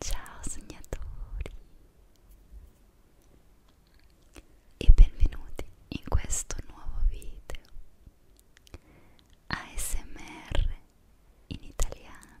Ciao sognatori e benvenuti in questo nuovo video ASMR in italiano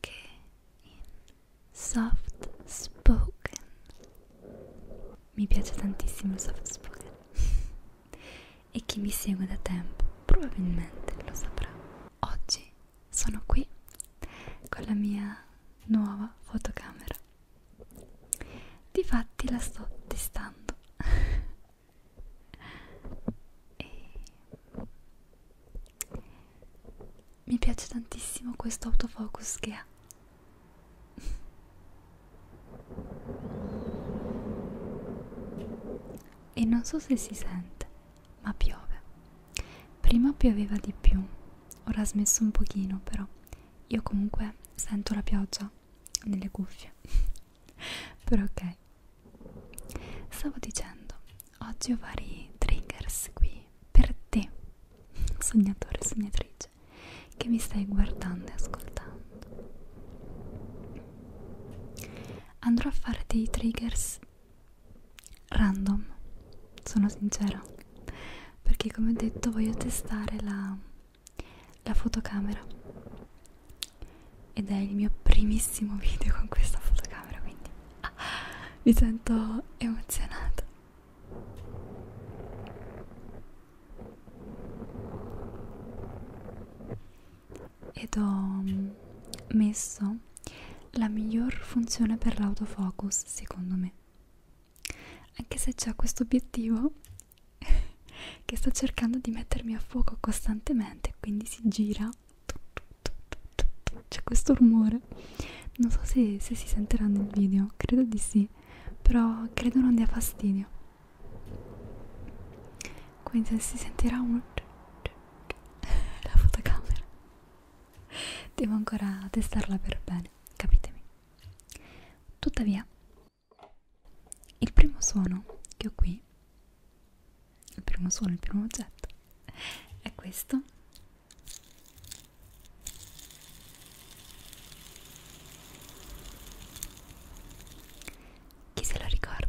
che in soft spoken mi piace tantissimo il soft spoken e chi mi segue da tempo probabilmente lo saprà oggi sono qui con la mia nuova fotocamera difatti la sto testando e mi piace tantissimo questo autofocus che ha e non so se si sente ma piove prima pioveva di più ora ha smesso un pochino però io comunque sento la pioggia nelle cuffie però ok stavo dicendo oggi ho vari triggers qui per te sognatore sognatrice che mi stai guardando e ascoltando andrò a fare dei triggers random sono sincera perché come ho detto voglio testare la la fotocamera ed è il mio primissimo video con questa fotocamera quindi ah, mi sento emozionata ed ho mm, messo la miglior funzione per l'autofocus secondo me anche se c'è questo obiettivo che sta cercando di mettermi a fuoco costantemente quindi si gira c'è questo rumore non so se, se si sentirà nel video credo di sì però credo non dia fastidio quindi si sentirà un la fotocamera devo ancora testarla per bene capitemi tuttavia il primo suono che ho qui, il primo suono, il primo oggetto, è questo. Chi se lo ricorda?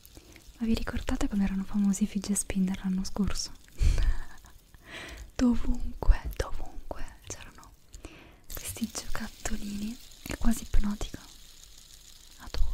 Ma vi ricordate come erano famosi i fidget spinner l'anno scorso? dovunque, dovunque c'erano questi giocattolini, è quasi ipnotico. Adoro.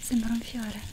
Sembra un fiore.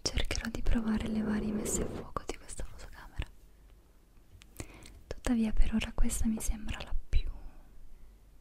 Cercherò di provare le varie messe a fuoco di questa fotocamera. Tuttavia per ora questa mi sembra la più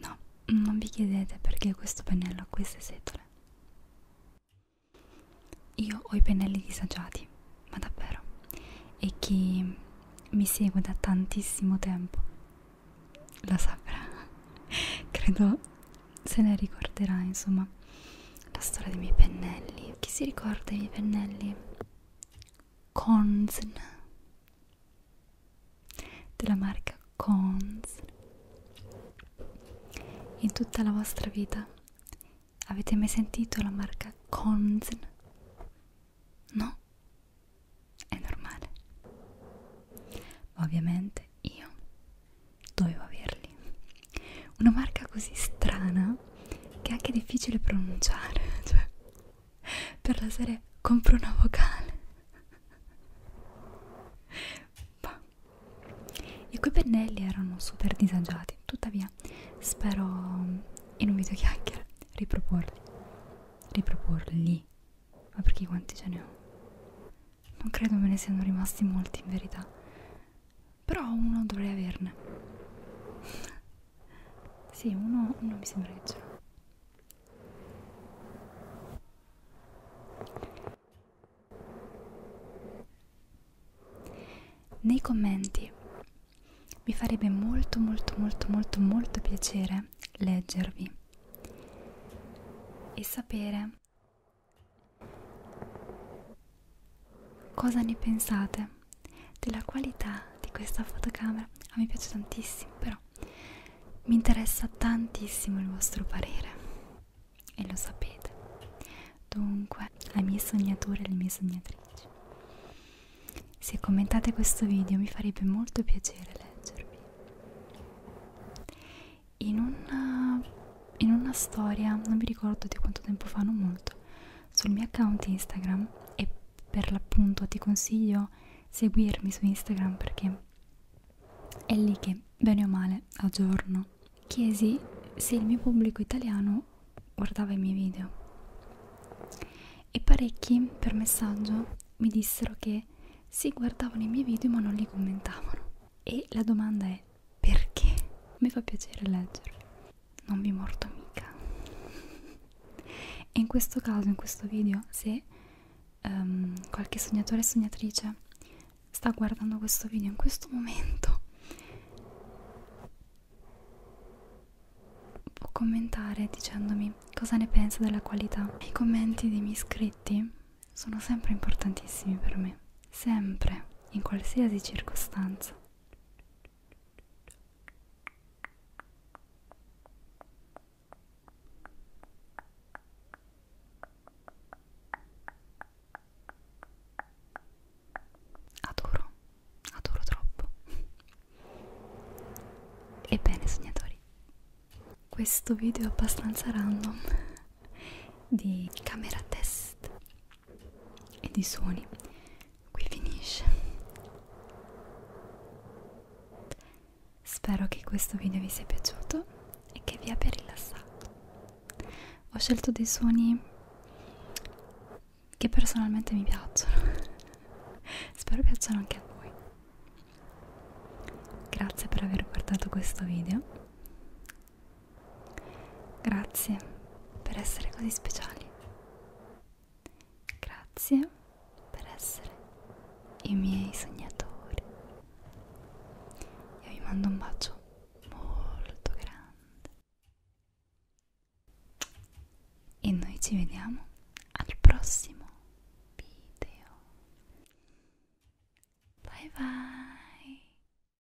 No, non vi chiedete perché questo pennello ha queste setole. Io ho i pennelli disagiati, ma davvero. E chi mi segue da tantissimo tempo lo saprà. Credo se ne ricorderà, insomma, la storia dei miei pennelli. Chi si ricorda i miei pennelli? Consn della marca Cons in tutta la vostra vita avete mai sentito la marca Cons? No? È normale. Ma ovviamente io dovevo averli. Una marca così strana che è anche difficile pronunciare, cioè per la serie compro una vocale bah. i quei pennelli erano super disagiati tuttavia spero in un video chiacchiera riproporli riproporli ma perché quanti ce ne ho non credo me ne siano rimasti molti in verità però uno dovrei averne sì, uno non mi sembra che ce l'ho. Nei commenti mi farebbe molto molto molto molto molto piacere leggervi e sapere cosa ne pensate della qualità di questa fotocamera a me piace tantissimo però mi interessa tantissimo il vostro parere e lo sapete dunque ai miei sognatori e alle mie sognatrici se commentate questo video mi farebbe molto piacere leggervi in una, in una storia non mi ricordo di quanto tempo fa non molto sul mio account Instagram e per l'appunto ti consiglio seguirmi su Instagram perché è lì che bene o male aggiorno. Chiesi se il mio pubblico italiano guardava i miei video e parecchi per messaggio mi dissero che si guardavano i miei video ma non li commentavano e la domanda è perché? Mi fa piacere leggerli non vi morto mica e in questo caso in questo video se um, qualche sognatore e sognatrice sta guardando questo video in questo momento può commentare dicendomi cosa ne pensa della qualità i commenti dei miei iscritti sono sempre importantissimi per me sempre in qualsiasi circostanza Adoro, adoro troppo. Ebbene, segnatori, questo video è abbastanza random di camera test e di suoni qui finisce spero che questo video vi sia piaciuto e che vi abbia rilassato ho scelto dei suoni che personalmente mi piacciono spero piacciono anche a voi grazie per aver guardato questo video Grazie per essere così speciali. Grazie per essere i miei sognatori. Io vi mando un bacio molto grande. E noi ci vediamo al prossimo video. Bye bye.